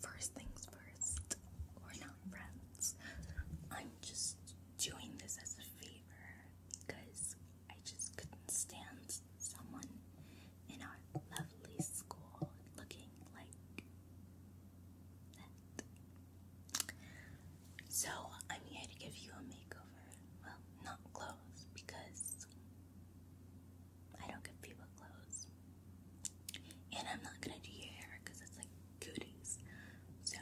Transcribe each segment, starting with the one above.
First things first, we're not friends. I'm just doing this as a favor because I just couldn't stand someone in our lovely school looking like that. So I'm here to give you a makeover. Well, not clothes because I don't give people clothes. And I'm not gonna do your hair because it's like goodies. So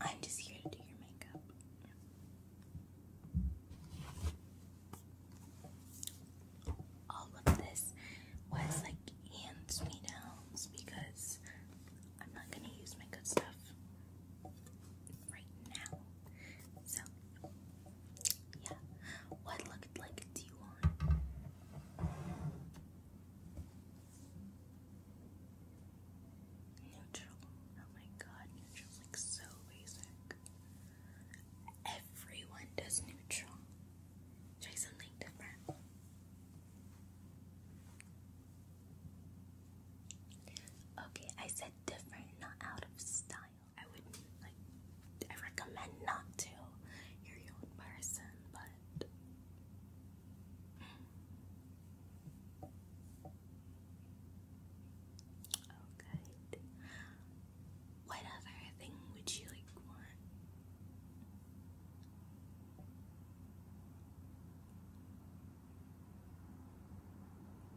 I'm just here to do your makeup. All of this was like hands me downs because I'm not gonna use my good stuff right now. So yeah. What looked like do you want? Neutral. Oh my god, neutral like so basic. Everyone does neutral. Try something different. Okay, I said different, not out of style. I would like I recommend not to. your own person, but Oh What other thing would you like want?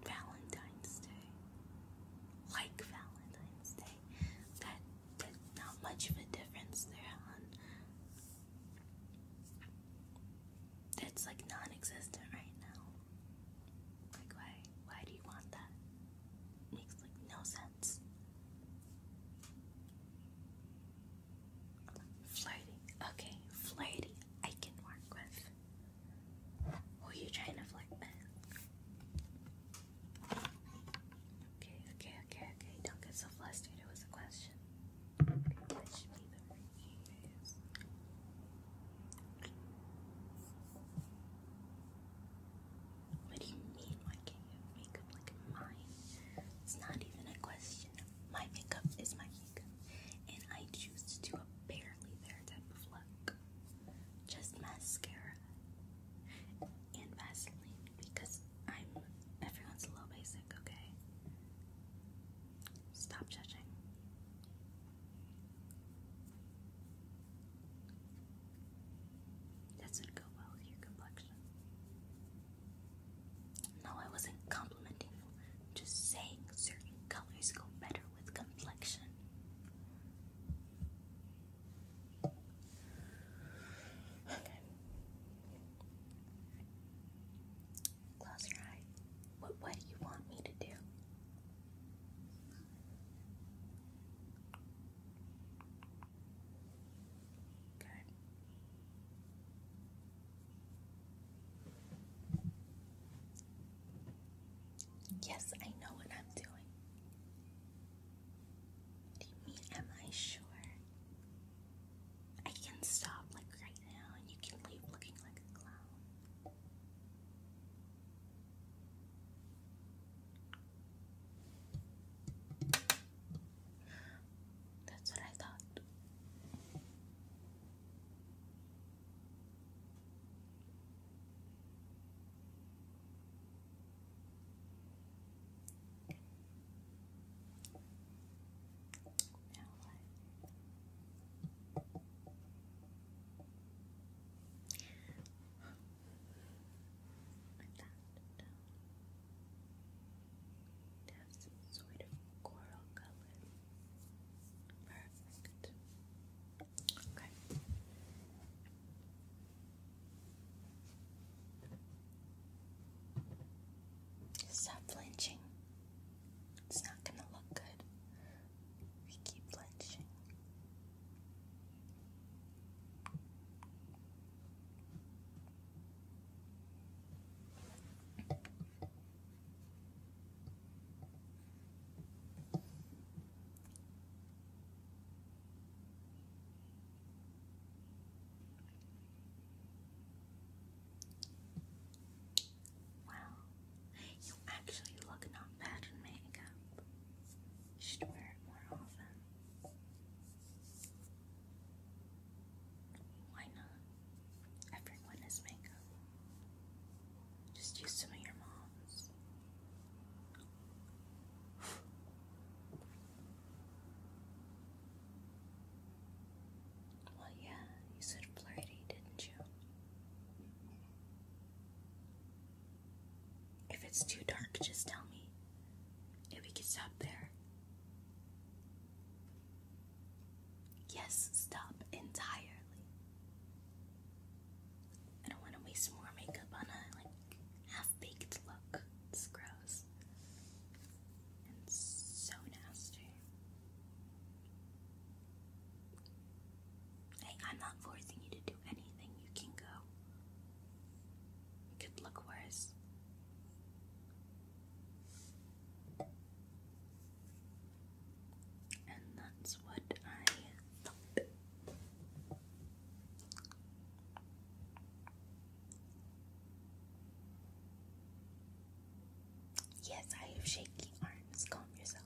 Valentine's Day like Valentine's Day. That not much of a difference there on that's like non existent right now. Like why why do you want that? Makes like no sense. Flirty. Okay, flirty I can work with. Or are you trying to flick back? Okay, okay, okay, okay. Don't get so flustered. It was a question. What do you mean? Why can makeup like mine? It's not even a question. My makeup is my and I choose to do a barely there type of look. Just mascara and Vaseline because I'm everyone's a little basic, okay? Stop judging. That's would go well with your complexion. No, I wasn't complimenting you. Just saying certain colors go better with complexion. Okay. Close your eye. What what do you want me to do? Okay. Yes, I know what I'm doing. Do you mean, am I sure? I can stop like right now and you can leave looking like a clown. That's what I thought. Now what? With that it has sort of coral color. Perfect. Stop flinching. It's not gonna look good. We keep flinching. Wow, you actually look not bad in makeup. You should wear it more often. Why not? Everyone has makeup. Just use some of your mom's. Well, yeah, you said flirty, didn't you? If it's too dark, just tell me. If we can stop there. Yes, stop entirely. I don't want to waste more makeup on a like half-baked look. It's gross and so nasty. Hey, I'm not forcing you to do anything. You can go. It could look worse. And that's what I thought. Yes, I have shaky arms. Calm yourself.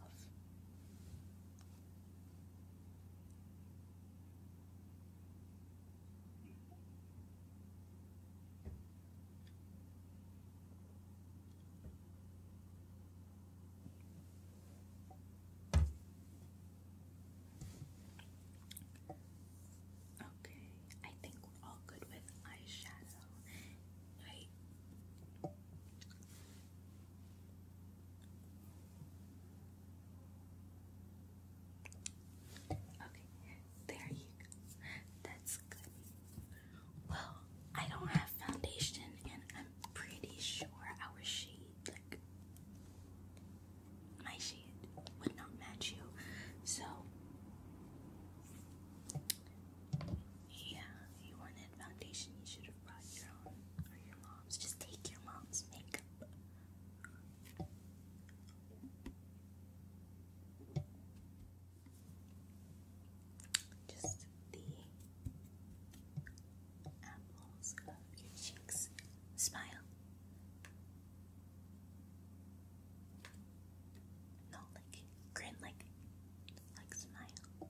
Okay, I think we're all good with eyeshadow, right? Okay, there you go. That's good. Well, I don't have foundation, and I'm pretty sure our shade, like my shade, would not match you. So, yeah, if you wanted foundation, you should or your mom's. Just take your mom's makeup. Just the apples of your cheeks. Smile. No, like grin, like like smile.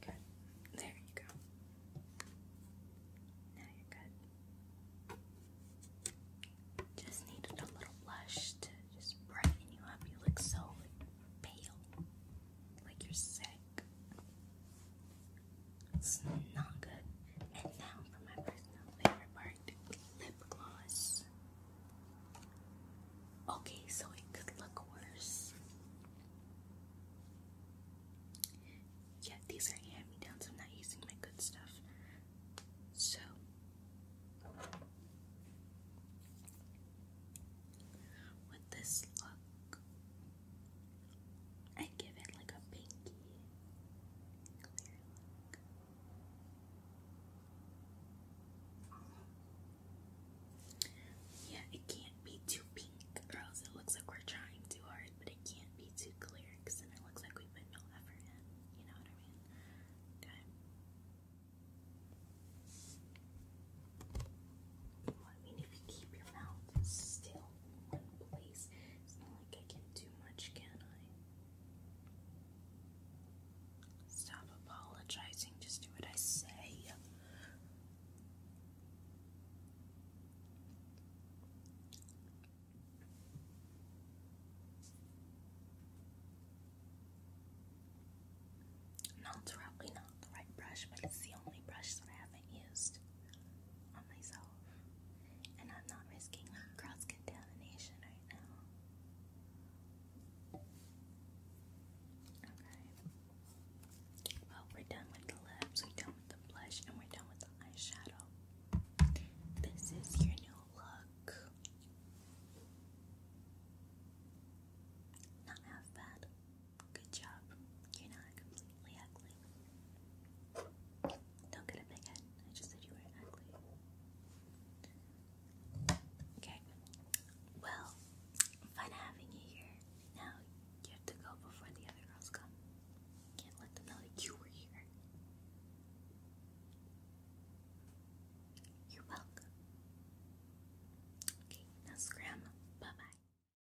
Good. There you go. Now you're good. Just needed a little blush to just brighten you up. You look so pale. Like you're sick. It's not good. And now for my personal favorite part lip gloss. Okay, so it could look worse. Yeah, these are hand me downs. I'm not using my good stuff. So, with this look, I give it like a pinky yeah, it can't be too pink, or it looks like we're trying too hard, but it can't be too clear then it looks like we put no effort in. You know what I mean? I mean, if you keep your mouth still, place. It's not like I can do much, can I? Stop apologizing, just do what I say. No, it's not the right brush, but it's the only brush that I haven't used on myself and I'm not risking cross contamination right now. Okay. Well, we're done with the lips, we're done with the blush, and we're done with the eyeshadow. This is your new look. Not half bad. Good job. You're not don't get a big I just said you were ugly. Okay. Well, fun having you here. Now you have to go before the other girls come. Can't let them know that you were here. You're welcome. Okay, now scram. Bye bye.